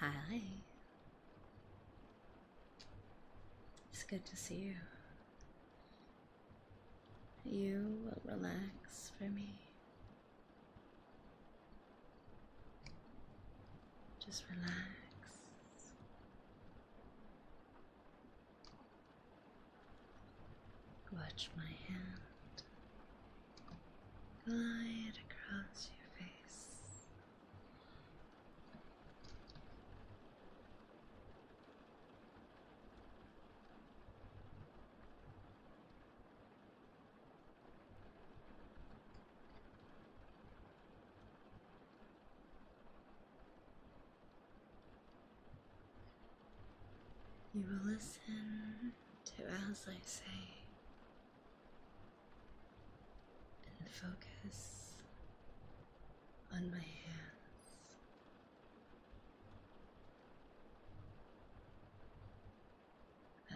Hi. It's good to see you. You will relax for me. Just relax. Watch my hand glide across your face. You will listen to as I say and focus on my hands.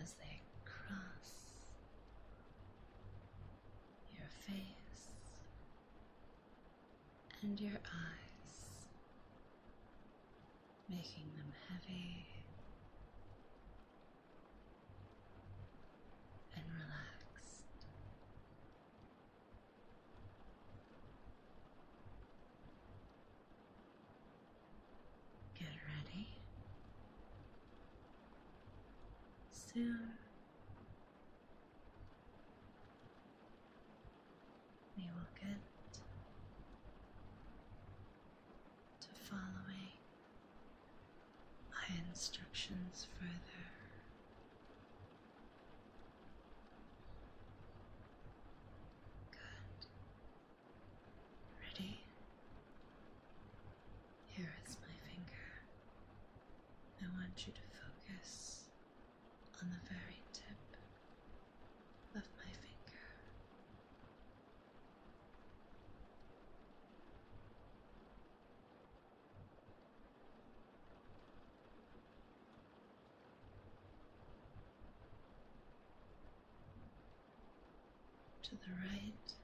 As they cross your face and your eyes, making them heavy and relaxed. Get ready. Soon we will get to following my instructions further. Good. Ready? Here is my finger. I want you to focus on the very tip of my finger. To the right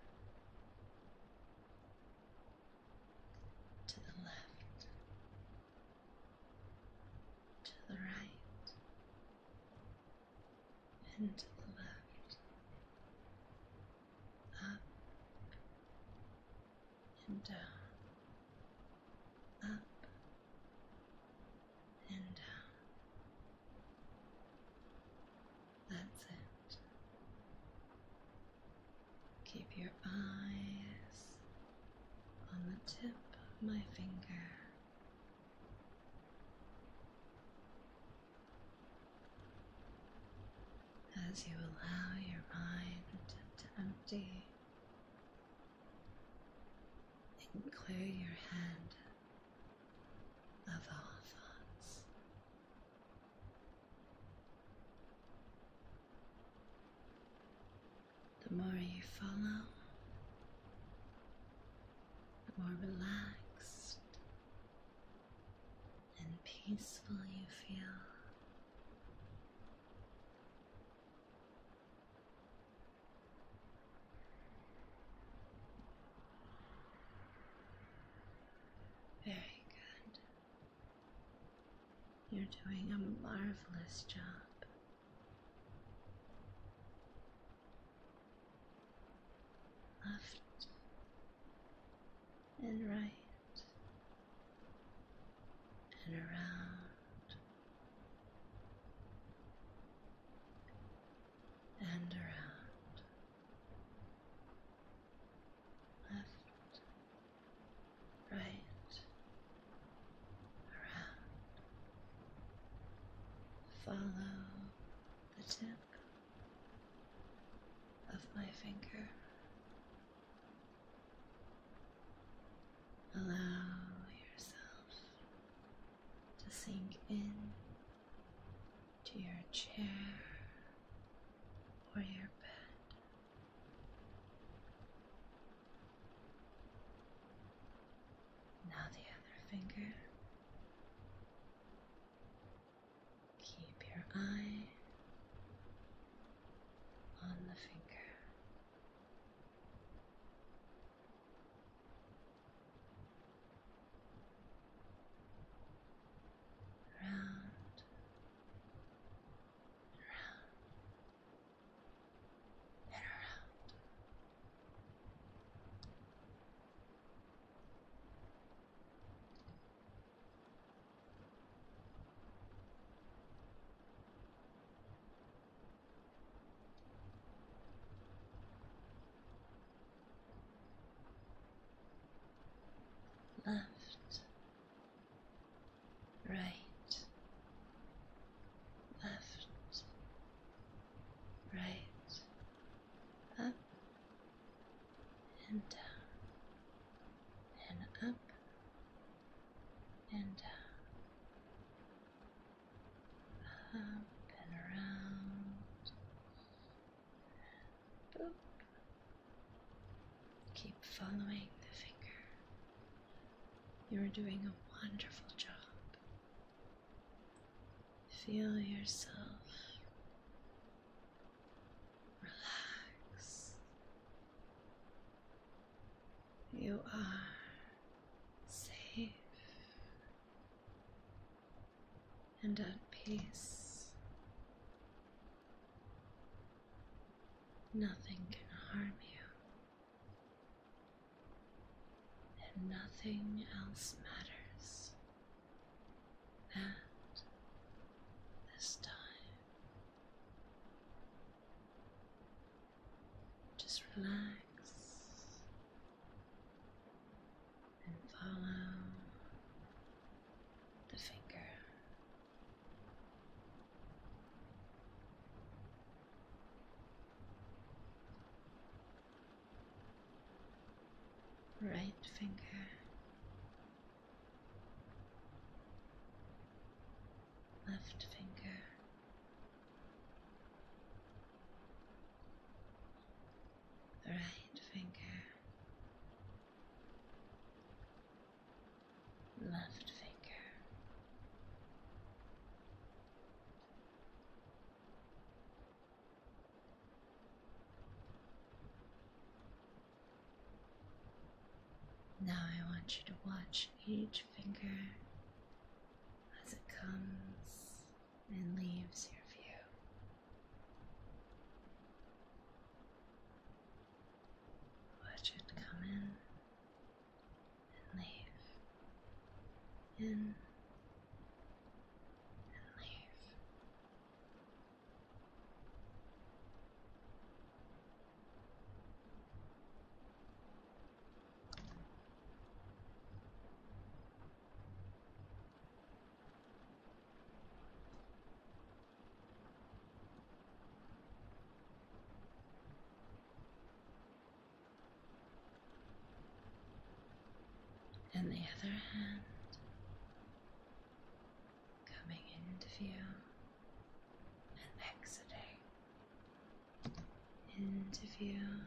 to the left, to the right, and to the left, up and down, up and down. That's it. Keep your eyes on the tip of my finger. As you allow your mind to empty and clear your head of all thoughts, the more you follow, the more relaxed and peaceful you feel. Very good. You're doing a marvelous job. Left and right and around and around. Left right around. Follow the tip of my finger. Allow yourself to sink in to your chair or your bed. Now the other finger. Keep your eye on the finger round, round, and around left, right, left, right, up and down, and up and down, up and around, boop. Keep following the finger. You're doing a wonderful job. Feel yourself relax. You are safe and at peace Nothing can harm you, and nothing else matters. At this time, just relax and follow the finger. Right finger, left finger, right finger, left finger. Now I want you to watch each finger as it comes and leaves your view. Watch it come in and leave. In and leave and the other hand coming into view and exiting into view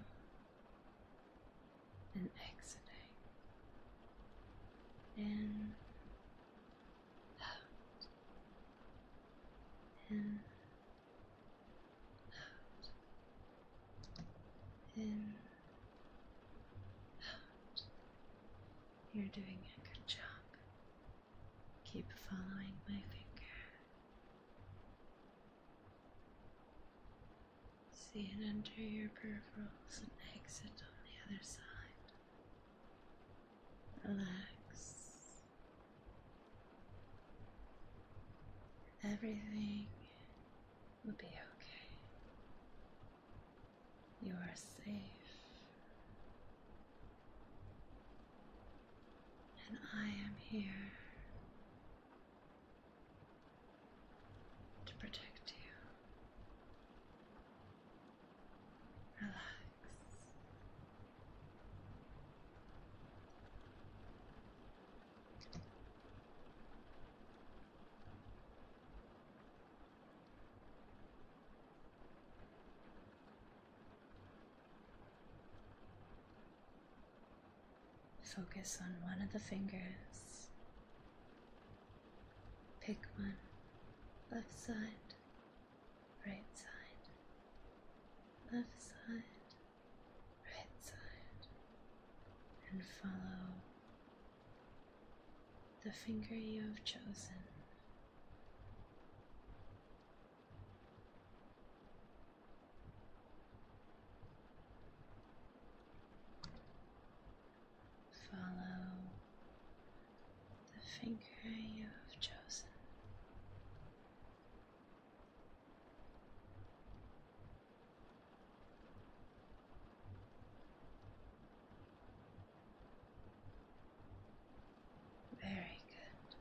and exiting. In, out, in, out, in, out. You're doing a good job. Keep following my finger. See it enter your peripherals and exit on the other side. Relax. Everything will be okay. You are safe. And I am here to protect you. Relax. Focus on one of the fingers. Pick one. Left side, right side, left side, right side, and follow the finger you have chosen. Follow the finger you have chosen. Very good.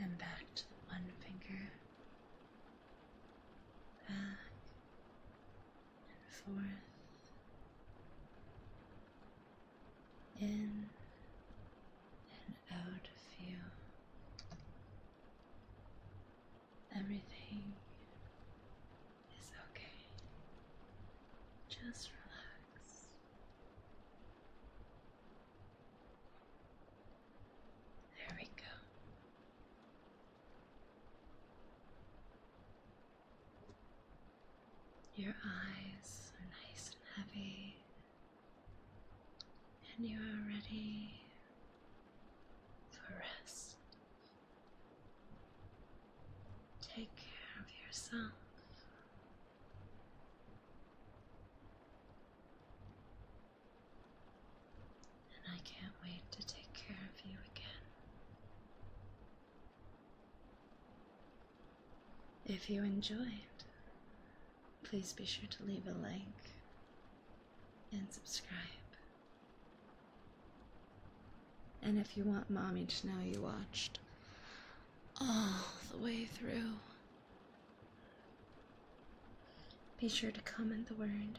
And back to the one finger, back and forth, in and out of you. Everything is okay. Just relax. There we go. Your eyes are nice and heavy, and you are ready for rest. Take care of yourself. And I can't wait to take care of you again. If you enjoyed, please be sure to leave a like and subscribe. And if you want mommy to know you watched all the way through, be sure to comment the word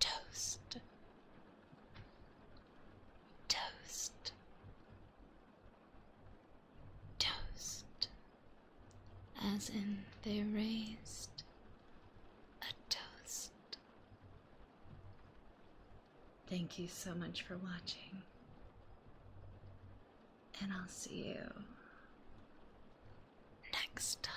toast. Toast toast, as in they raised a toast. Thank you so much for watching, and I'll see you next time.